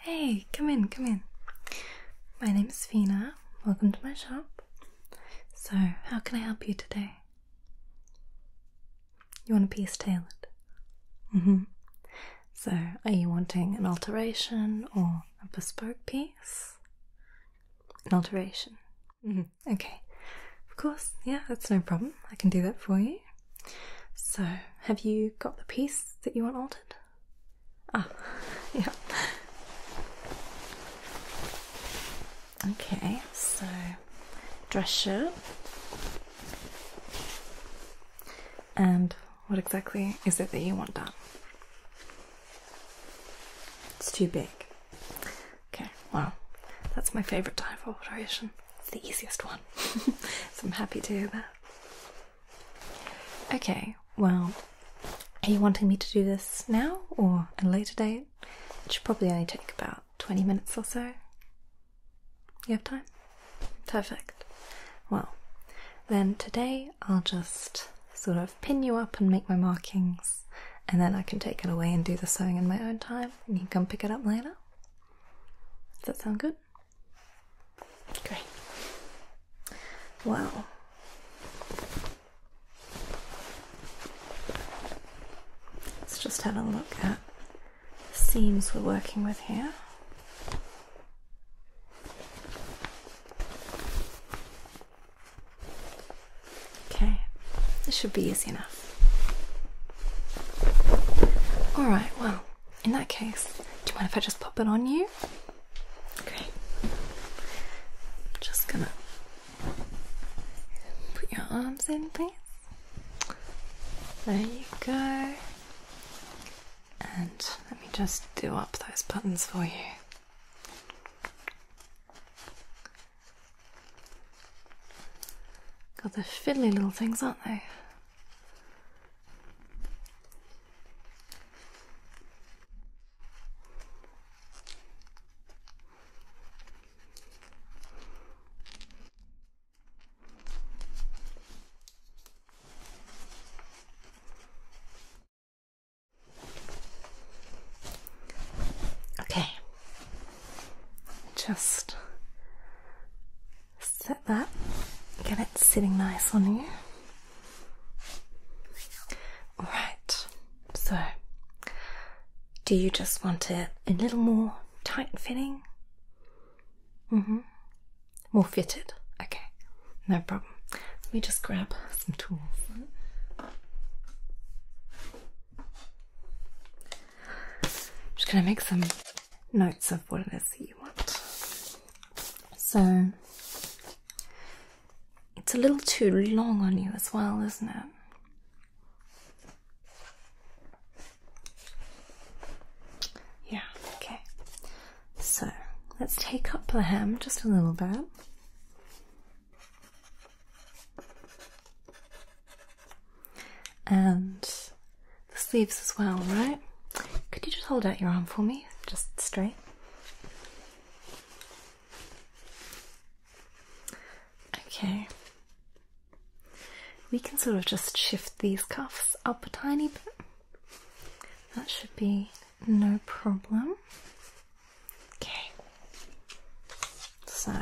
Hey, come in, come in. My name is Fina. Welcome to my shop. So, how can I help you today? You want a piece tailored? Mm hmm. So, are you wanting an alteration or a bespoke piece? an alteration. Mm-hmm. Okay, of course, yeah, that's no problem. I can do that for you. So, have you got the piece that you want altered? Ah, yeah. Okay, so dress shirt. And what exactly is it that you want done? It's too big. Okay, well, that's my favourite type of alteration. It's the easiest one, so I'm happy to hear that. Okay, well, are you wanting me to do this now or at a later date? It should probably only take about 20 minutes or so. You have time? Perfect. Well, then today I'll just sort of pin you up and make my markings, and then I can take it away and do the sewing in my own time, and you can come pick it up later. Does that sound good? Great. Wow. Let's just have a look at the seams we're working with here. Okay, this should be easy enough. Alright, well, in that case, do you mind if I just pop it on you? Great. Just gonna put your arms in, please. There you go. And let me just do up those buttons for you. God, they're fiddly little things, aren't they? Okay, just set that, get it sitting nice on you. Alright, so do you just want it a little more tight fitting? Mm hmm. More fitted? Okay, no problem. Let me just grab some tools. I'm just going to make some notes of what it is that you want. So it's a little too long on you as well, isn't it? Yeah, okay. So let's take up the hem just a little bit. And the sleeves as well, right? Could you just hold out your arm for me? Just straight. Okay. We can sort of just shift these cuffs up a tiny bit. That should be no problem. Okay. So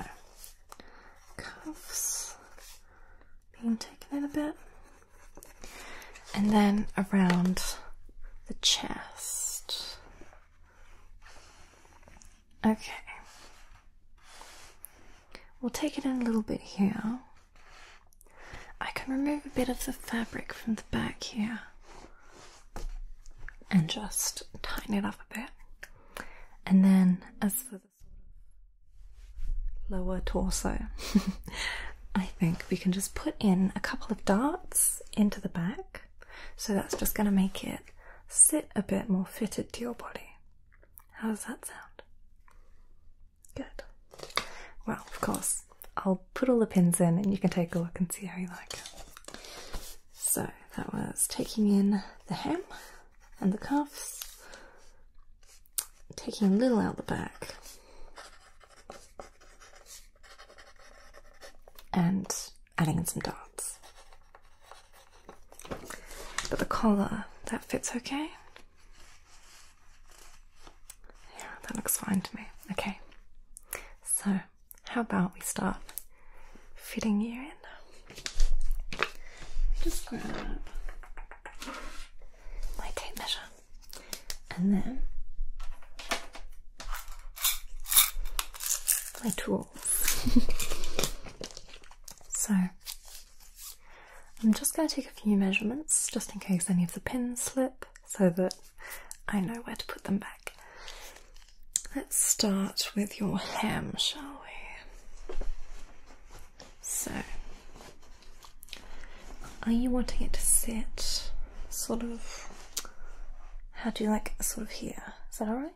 cuffs being taken in a bit. And then around the chest. Okay. We'll take it in a little bit here. I can remove a bit of the fabric from the back here and just tighten it up a bit. And then, as for the lower torso, I think we can just put in a couple of darts into the back. So that's just going to make it sit a bit more fitted to your body. How does that sound? Good. Well, of course, I'll put all the pins in and you can take a look and see how you like so that was taking in the hem and the cuffs, taking a little out the back, and adding in some darts. But the collar, that fits okay? Yeah, that looks fine to me. Okay, so how about we start fitting you in? Just grab my tape measure and then my tools. so I'm just going to take a few measurements just in case any of the pins slip so that I know where to put them back. Let's start with your hem, shall we? So, are you wanting it to sit sort of? How do you like sort of here? Is that alright?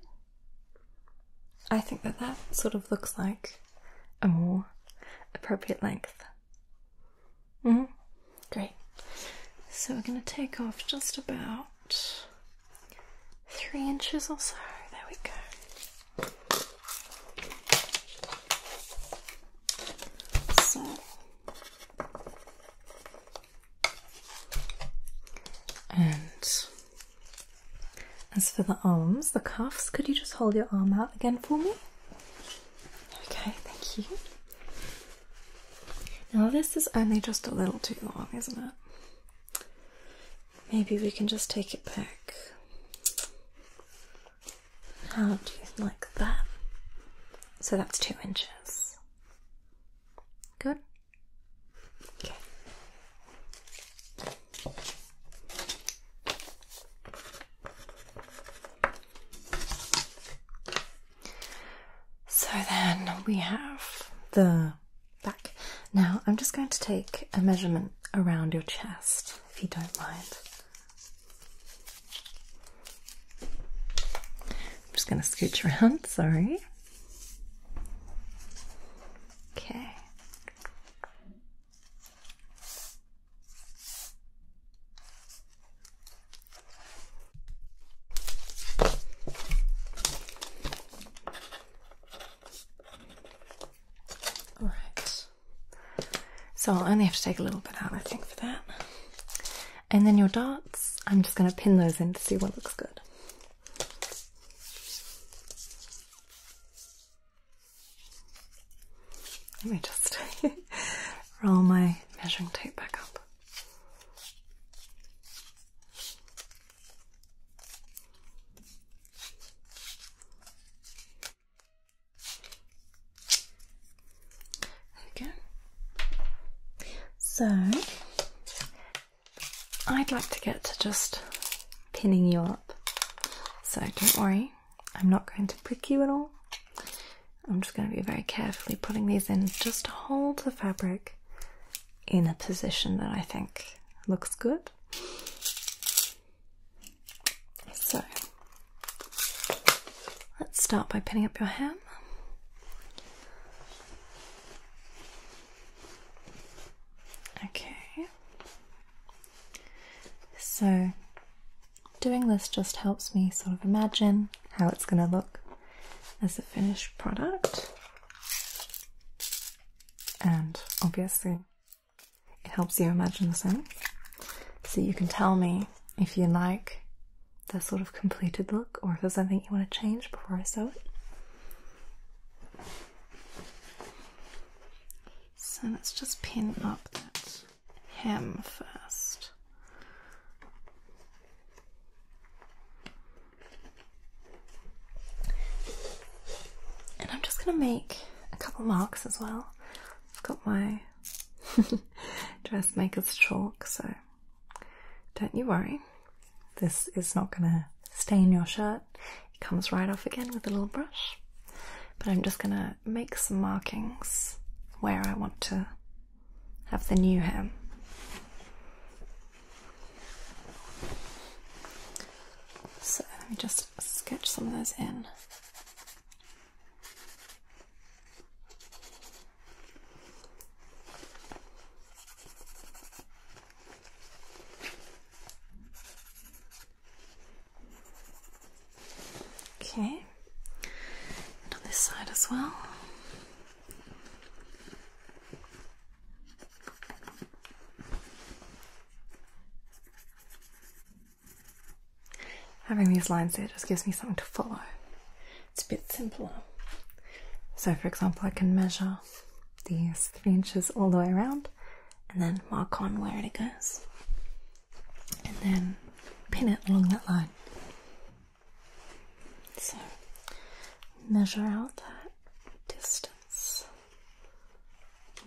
I think that that sort of looks like a more appropriate length. hmm Great. So we're going to take off just about three inches or so. There we go. So and as for the arms, the cuffs, could you just hold your arm out again for me? Okay, thank you. Now, this is only just a little too long, isn't it? Maybe we can just take it back. How do you like that? So that's two inches. Good? So then we have the back. Now, I'm just going to take a measurement around your chest, if you don't mind. I'm just going to scooch around, sorry. Okay. All right. So I'll only have to take a little bit out, I think, for that. And then your dots, I'm just going to pin those in to see what looks good. Let me just roll my measuring tape back up. There we go. So I'd like to get to just pinning you up. So don't worry, I'm not going to prick you at all. I'm just going to be very carefully putting these in just hold the fabric in a position that I think looks good. So let's start by pinning up your ham. Okay, so doing this just helps me sort of imagine how it's going to look as a finished product and obviously it helps you imagine the scene. So you can tell me if you like the sort of completed look or if there's something you want to change before I sew it. So let's just pin up that hem first. And I'm just going to make a couple marks as well. I've got my dressmaker's chalk, so don't you worry. This is not going to stain your shirt. It comes right off again with a little brush. But I'm just going to make some markings where I want to have the new hem. So let me just sketch some of those in. Okay, and on this side as well. Having these lines there just gives me something to follow. It's a bit simpler. So, for example, I can measure these three inches all the way around and then mark on where it goes and then pin it along that line. So, measure out that distance.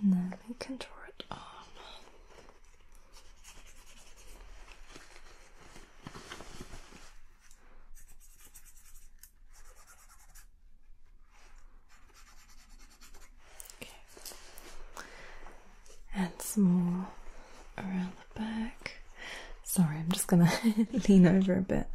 And then we can draw it on. Okay. Add some more around the back. Sorry, I'm just gonna lean over a bit.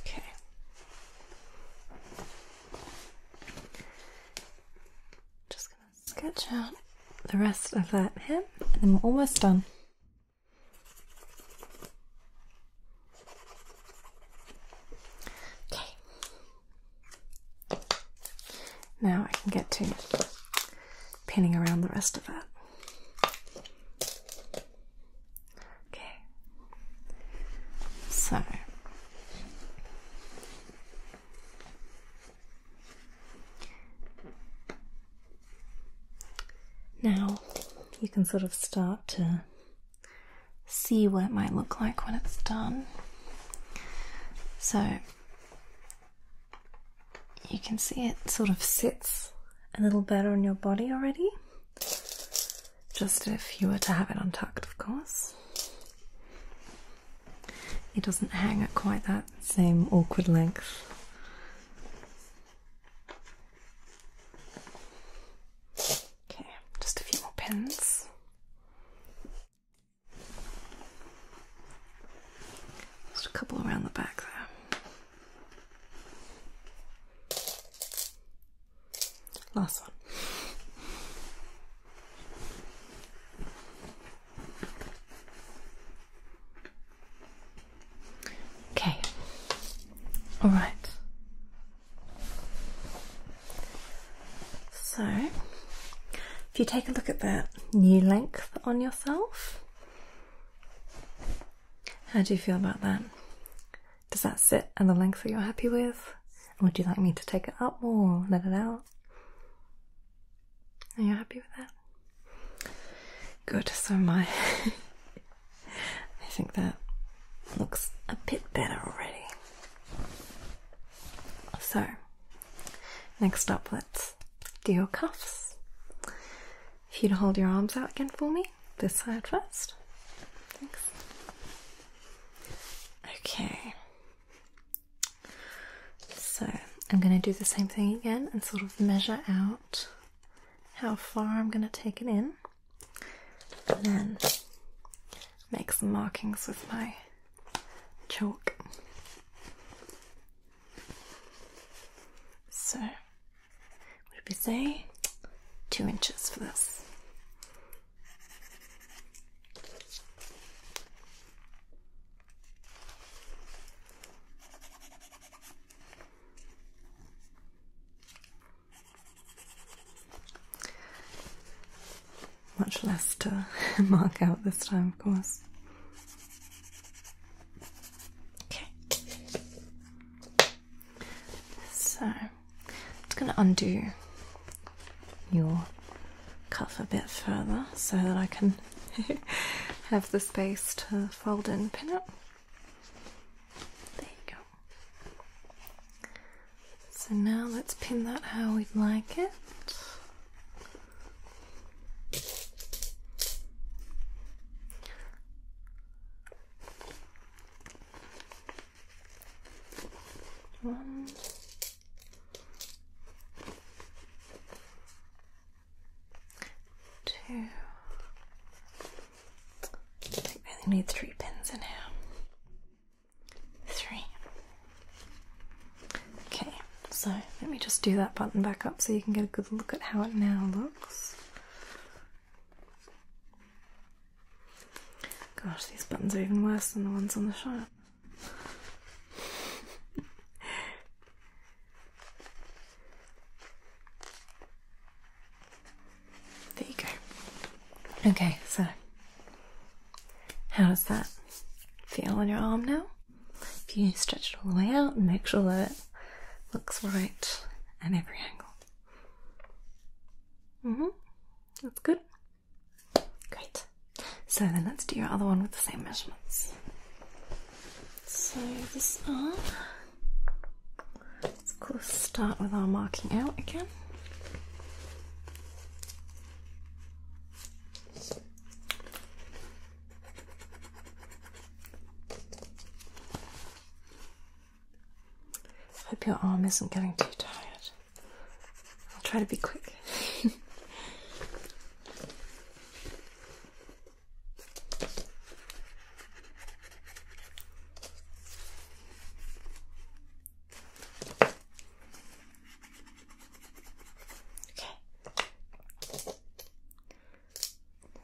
Okay. Just gonna sketch out the rest of that hem and then we're almost done. Okay. Now I can get to pinning around the rest of that. Okay. So. Now you can sort of start to see what it might look like when it's done. So you can see it sort of sits a little better on your body already. Just if you were to have it untucked, of course. It doesn't hang at quite that same awkward length. Okay, just a few more pins. Just a couple around the back there. Last one. Okay. All right. So, if you take a look at that new length on yourself, how do you feel about that? Does that sit at the length that you're happy with? Would you like me to take it up or let it out? Are you happy with that? Good, so my I think that looks a bit better already. So, next up, let's do your cuffs. If you'd hold your arms out again for me, this side first. Thanks. Okay. So, I'm going to do the same thing again and sort of measure out how far I'm going to take it in. And then make some markings with my chalk. So, what did we say? Two inches for this much less to mark out this time, of course. Okay. So, I'm going to undo your cuff a bit further so that I can have the space to fold in the pin up. There you go. So now let's pin that how we'd like it. One. Two. I only need three pins in here three. Okay, so let me just do that button back up so you can get a good look at how it now looks. Gosh, these buttons are even worse than the ones on the shirt. there you go. Okay, so how does that feel on your arm now? If you stretch it all the way out and make sure that it looks right at every angle. Mm-hmm. That's good. Great. So then let's do your other one with the same measurements. So this arm, let's of course start with our marking out again. Hope your arm isn't getting too tired. I'll try to be quick. Okay.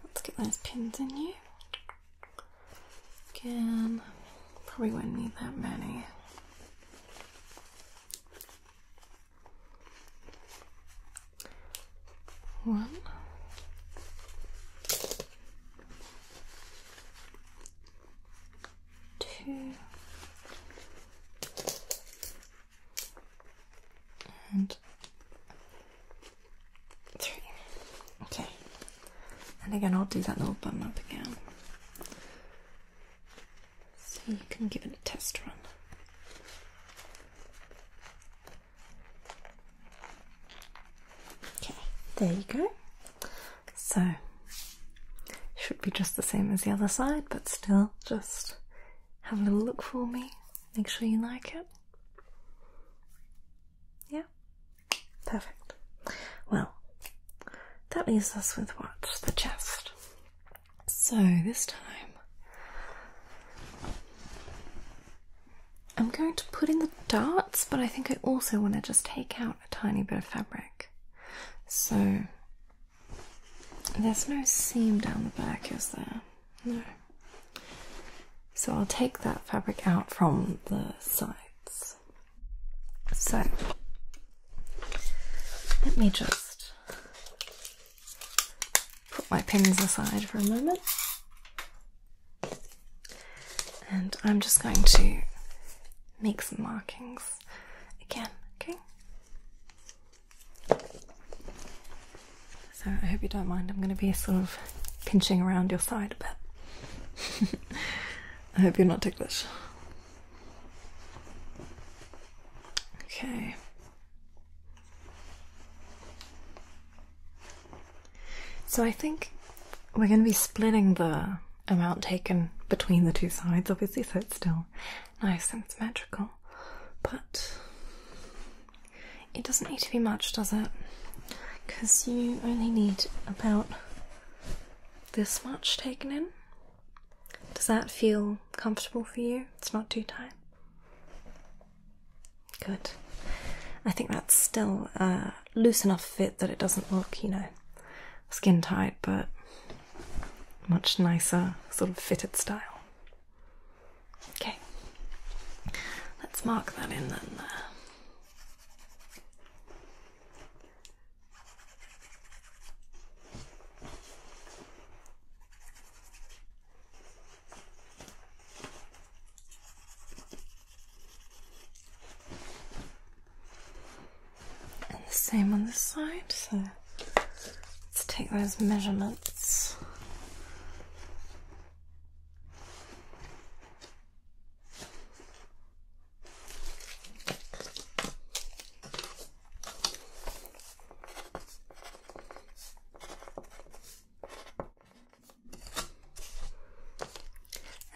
Let's get those pins in you. Again, probably won't need that many. One two, and three. Okay, and again, I'll do that little bum up again. So you can give it a test run. Okay, there you go. So, should be just the same as the other side, but still just have a little look for me. Make sure you like it. Yeah, perfect. Well, that leaves us with what? The chest. So, this time. I'm going to put in the darts, but I think I also want to just take out a tiny bit of fabric. So there's no seam down the back, is there? No. So I'll take that fabric out from the sides. So let me just put my pins aside for a moment. And I'm just going to make some markings again, okay? So I hope you don't mind. I'm going to be sort of pinching around your side a bit. I hope you're not ticklish. Okay. So I think we're going to be splitting the amount taken between the two sides, obviously, so it's still nice and symmetrical, but it doesn't need to be much, does it? Because you only need about this much taken in. Does that feel comfortable for you? It's not too tight? Good. I think that's still a uh, loose enough fit that it doesn't look, you know, skin tight but much nicer sort of fitted style. Okay, let's mark that in then there and the same on this side. So let's take those measurements.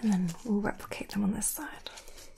And then we'll replicate them on this side.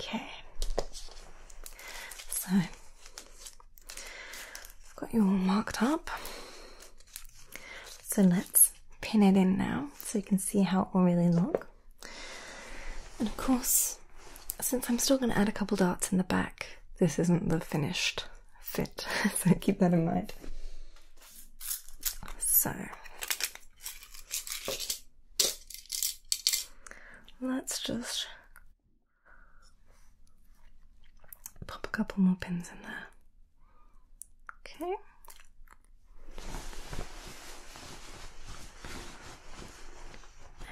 Okay, so I've got you all marked up. So let's pin it in now so you can see how it will really look. And of course, since I'm still going to add a couple darts in the back, this isn't the finished fit, so keep that in mind. So let's just pop a couple more pins in there. Okay.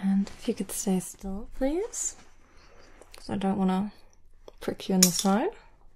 And if you could stay still, please, because I don't want to prick you in the side.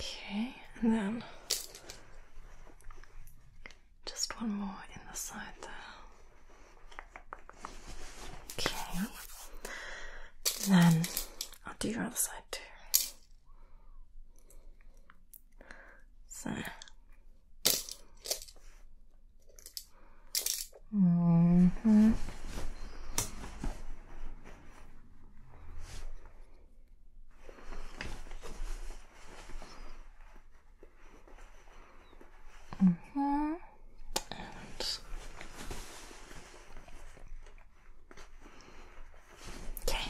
Okay, and then just one more in the side there. Okay, then I'll do your other side too. So. -hmm. Mm-hmm. okay,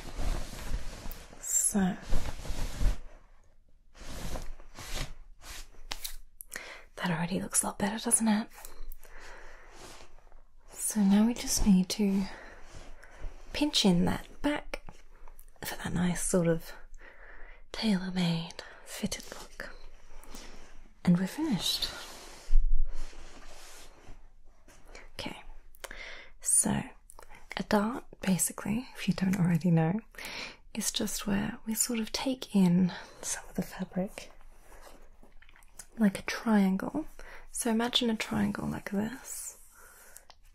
so that already looks a lot better, doesn't it? So now we just need to pinch in that back for that nice sort of tailor-made fitted look. And we're finished. Okay, so a dart, basically, if you don't already know, is just where we sort of take in some of the fabric like a triangle. So imagine a triangle like this,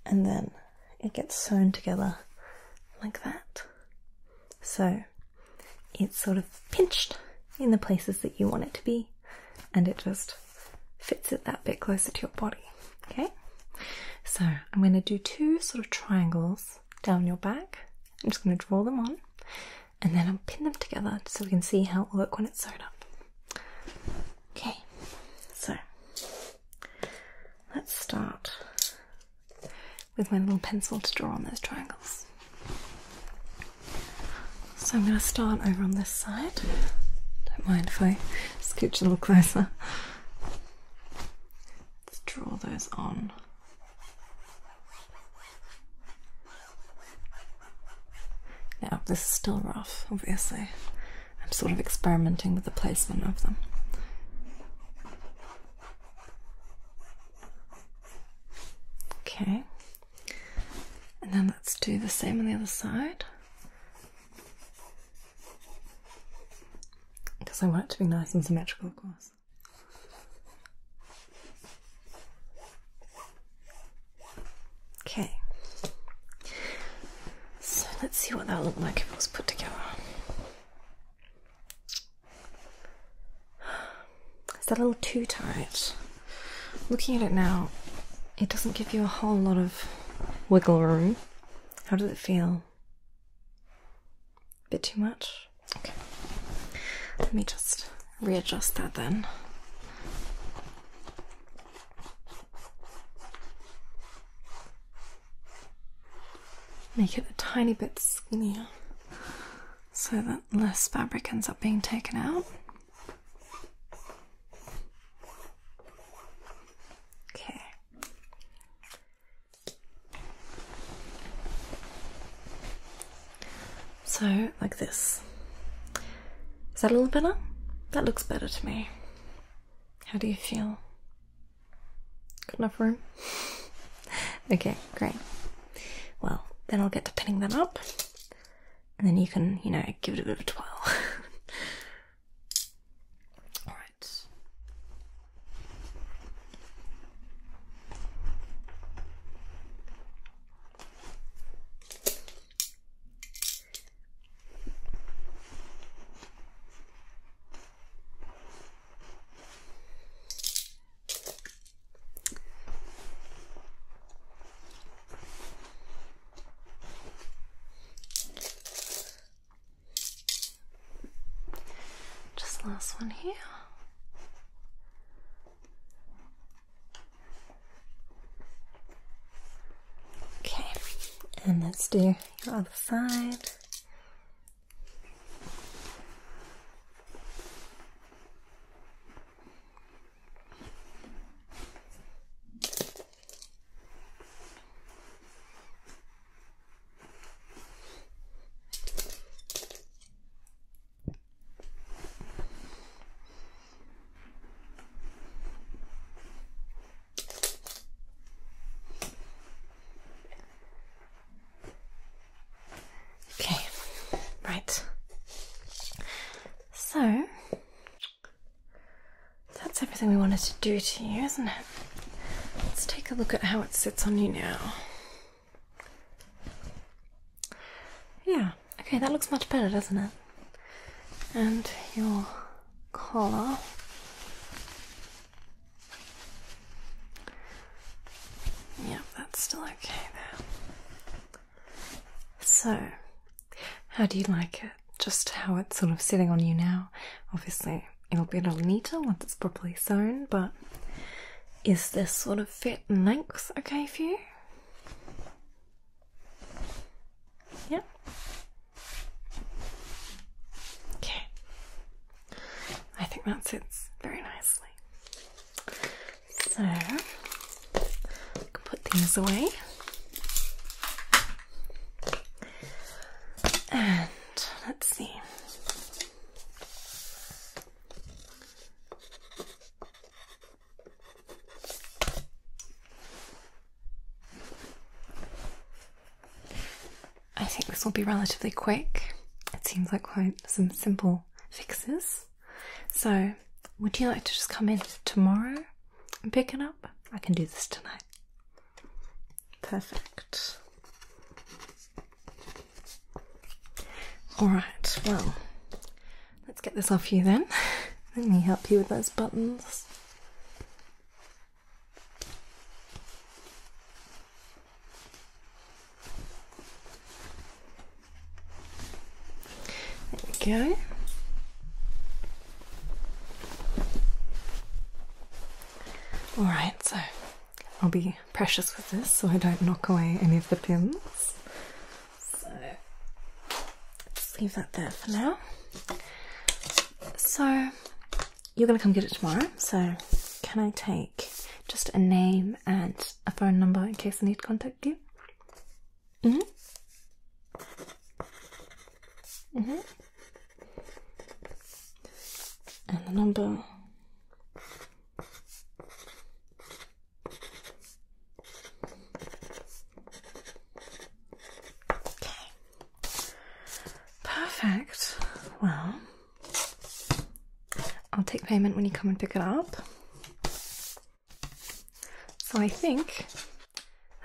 and then it gets sewn together like that. So it's sort of pinched in the places that you want it to be, and it just fits it that bit closer to your body. Okay, so I'm going to do two sort of triangles down your back. I'm just going to draw them on and then I'll pin them together so we can see how it will look when it's sewed up. Okay, so let's start with my little pencil to draw on those triangles. So I'm going to start over on this side. Don't mind if I scooch a little closer. Let's draw those on. Now, this is still rough, obviously. I'm sort of experimenting with the placement of them. Okay, and then let's do the same on the other side because I want it to be nice and symmetrical, of course. Okay. So let's see what that'll look like if it was put together. Is that a little too tight? Looking at it now, it doesn't give you a whole lot of wiggle room. How does it feel? A bit too much? Okay. Let me just readjust that then. Make it a tiny bit skinnier so that less fabric ends up being taken out. Okay. So, like this. Is that a little better? That looks better to me. How do you feel? Good enough room? okay, great. Well, then I'll get to pinning that up, and then you can, you know, give it a bit of a twirl. Alright. Just last one here. Okay, and let's do the other side. Okay, right. So that's everything we wanted to do to you, isn't it? Let's take a look at how it sits on you now. Yeah, Okay, that looks much better, doesn't it? And your collar. Yep, that's still okay there. So, how do you like it? Just how it's sort of sitting on you now? Obviously, it'll be a little neater once it's properly sewn, but is this sort of fit and length okay for you? Yeah. Okay. I think that sits very nicely. So put things away. And let's see. I think this will be relatively quick. It seems like quite some simple fixes. So, would you like to just come in tomorrow and pick it up? I can do this tonight. Perfect. Alright, well, let's get this off you then. Let me help you with those buttons. There go. All right, so I'll be precious with this so I don't knock away any of the pins. Just leave that there for now. So you're going to come get it tomorrow. So can I take just a name and a phone number in case I need to contact you? Mhm. mhm. and the number. Okay. Perfect. Well, I'll take payment when you come and pick it up. So I think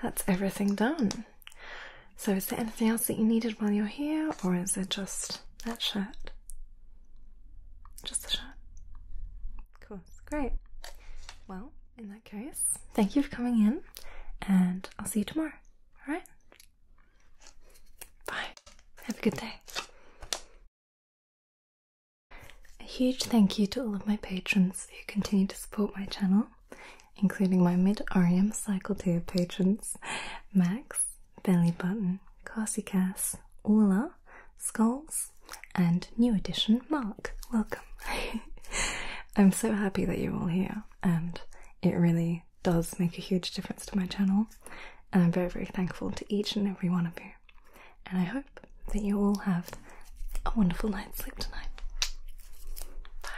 that's everything done. So is there anything else that you needed while you're here, or is it just that shirt? Just the shirt. Cool. Great. Well, in that that case, thank you for coming in, and I'll see you tomorrow. All right? Bye. Have a good day. A huge thank you to all of my patrons who continue to support my channel, including my mid Orium Cycle Tier patrons Max, Button, Carsicass, Orla, Skulls, and new addition Mark. Welcome. I'm so happy that you're all here, and it really does make a huge difference to my channel. And I'm very, very thankful to each and every one of you. And I hope that you all have a wonderful night's sleep tonight. Bye.